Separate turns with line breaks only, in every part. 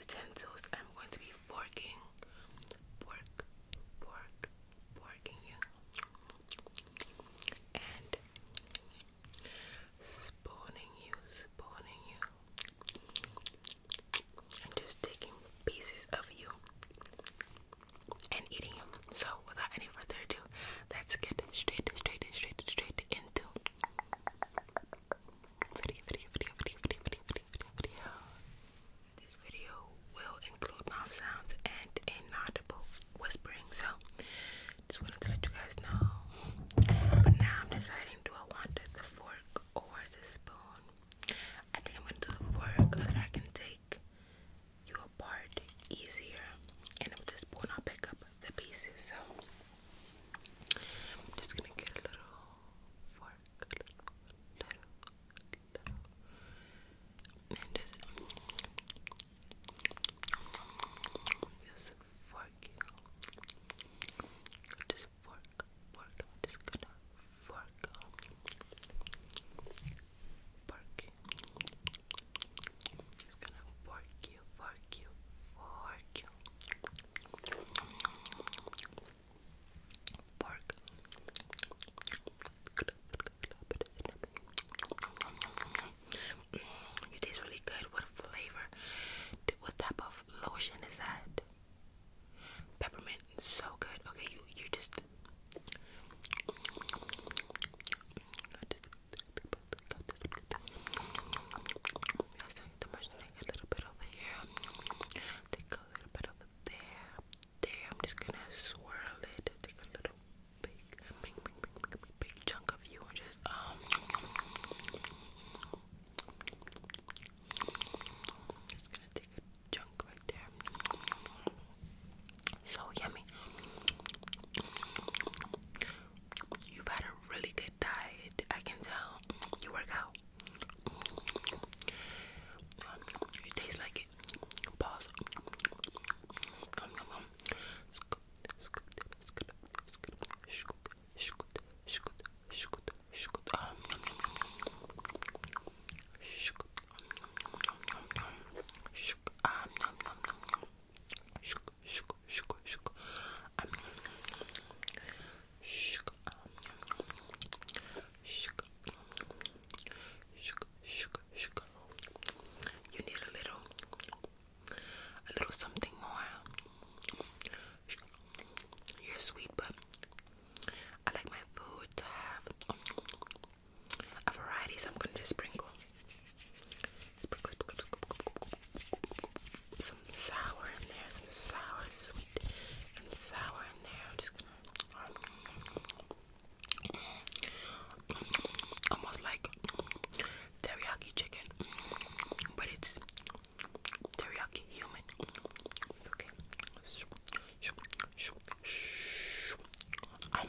utensils. I'm going to be forking, fork, fork, forking you, and spooning you, spooning you, and just taking pieces of you and eating them. So, without any further ado, let's get straight, straight, straight, straight into video, video, video, video, video, video, video, This video will include mouth sounds and inaudible whispering, so just wanted to let you guys know. But now I'm deciding do I want the fork or the spoon? I think I'm gonna do the fork so that I can take you apart easier. And with the spoon I'll pick up the pieces. So I'm just gonna get a little fork, and just fork, you just fork, fork. just gonna fork, fork. Just gonna fork you, fork you, fork you. Mm, taste really good. What flavor? What type of lotion is that? Peppermint. So good. Okay, you you Just mm, Yes, I need to brush like a little bit over here. Take a little bit over there. There, I'm just gonna swirl it. Take a little big, big, big, big, big chunk of you and just um. Just gonna take a chunk right there. So yummy. You've had a really good diet. I can tell. You work out. Um, you like it. Pause shook, shook, shook, shook. Um, shook, um, shook, shook, shook, shook. You need a little, a little something more. Shook. You're sweet, but I like my food to have a variety, so I'm gonna just sprinkle. Some sour in there, some sour, sweet, and sour in there. I'm just gonna um, almost like teriyaki chicken, but it's teriyaki human. It's okay. Um,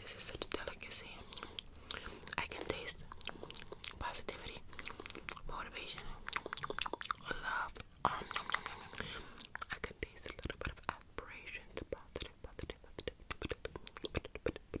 this is such a delicacy. I can taste positivity, motivation, love. I can taste a little bit of aspiration, positive, positive, positive, positive, positive,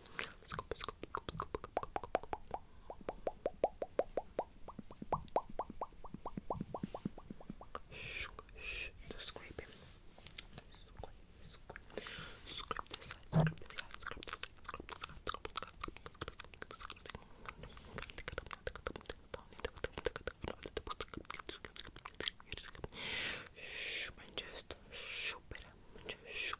Scoop, scoop, scoop, scoop, scoop. Shh, shh, scraping. Scrape, scrape, scrape this side, scrape this side, scrape this side, scrape this side, scrape this side, scrape this side. Shh, and just shoop it up, just shoop,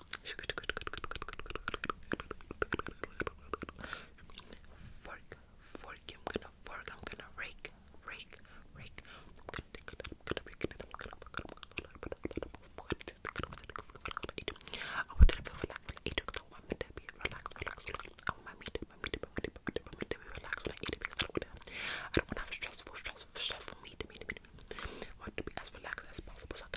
Fork, fork, I'm gonna fork, I'm gonna rake, rake, rake. i want to be as relaxed as possible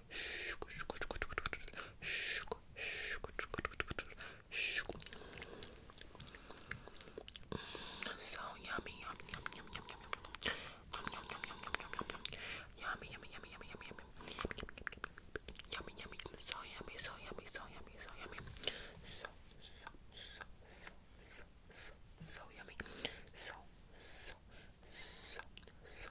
So yummy, yummy, yummy, yummy, yummy, yummy, yummy, yummy, yummy, yummy, yummy, yummy, yummy, yummy, yummy, so yummy, so yummy, so yummy, so yummy, so so so so so so yummy, so so so so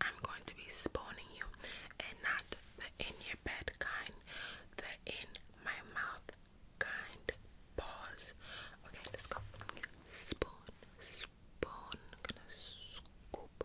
I'm going to be spawning you and not the in your bed kind, the in my mouth kind. Pause. Okay, let's go. Spawn, spawn. gonna scoop,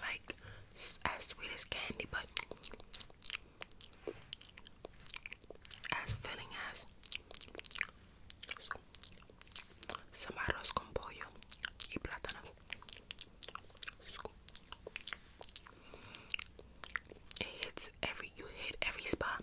Like as sweet as candy, but as filling as Samaros con pollo y plátano. It every you hit every spot.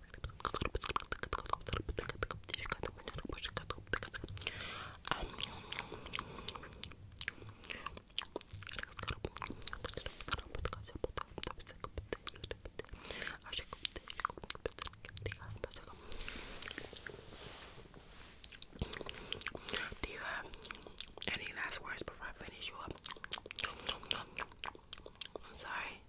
Do you have any last words before I finish you up? I'm sorry.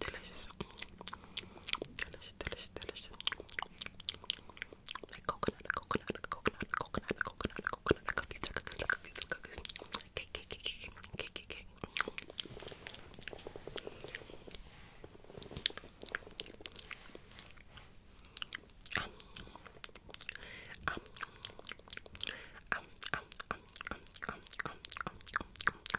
Delicious. Delicious, delicious, delicious. Like coconut, coconut, coconut, coconut, coconut, coconut, cookies, cookies, cookies, cookies. Cake, cake, cake, cake, cake, cake, cake. Um, um, um, um, um, um, um, um, um, um, um,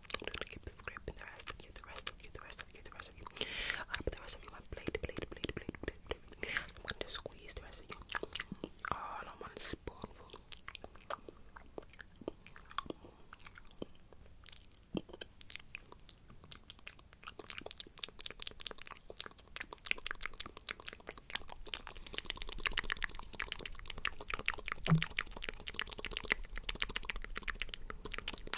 I'm gonna keep scraping the rest of the rest of the rest of the rest of you. I'm going the rest of you on plate, plate, plate, plate, plate, plate. I'm gonna squeeze the rest of you. All on one spoonful.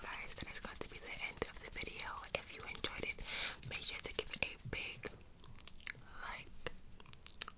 Guys, that is going to be the end of the video. If you enjoyed it, make sure to give a big like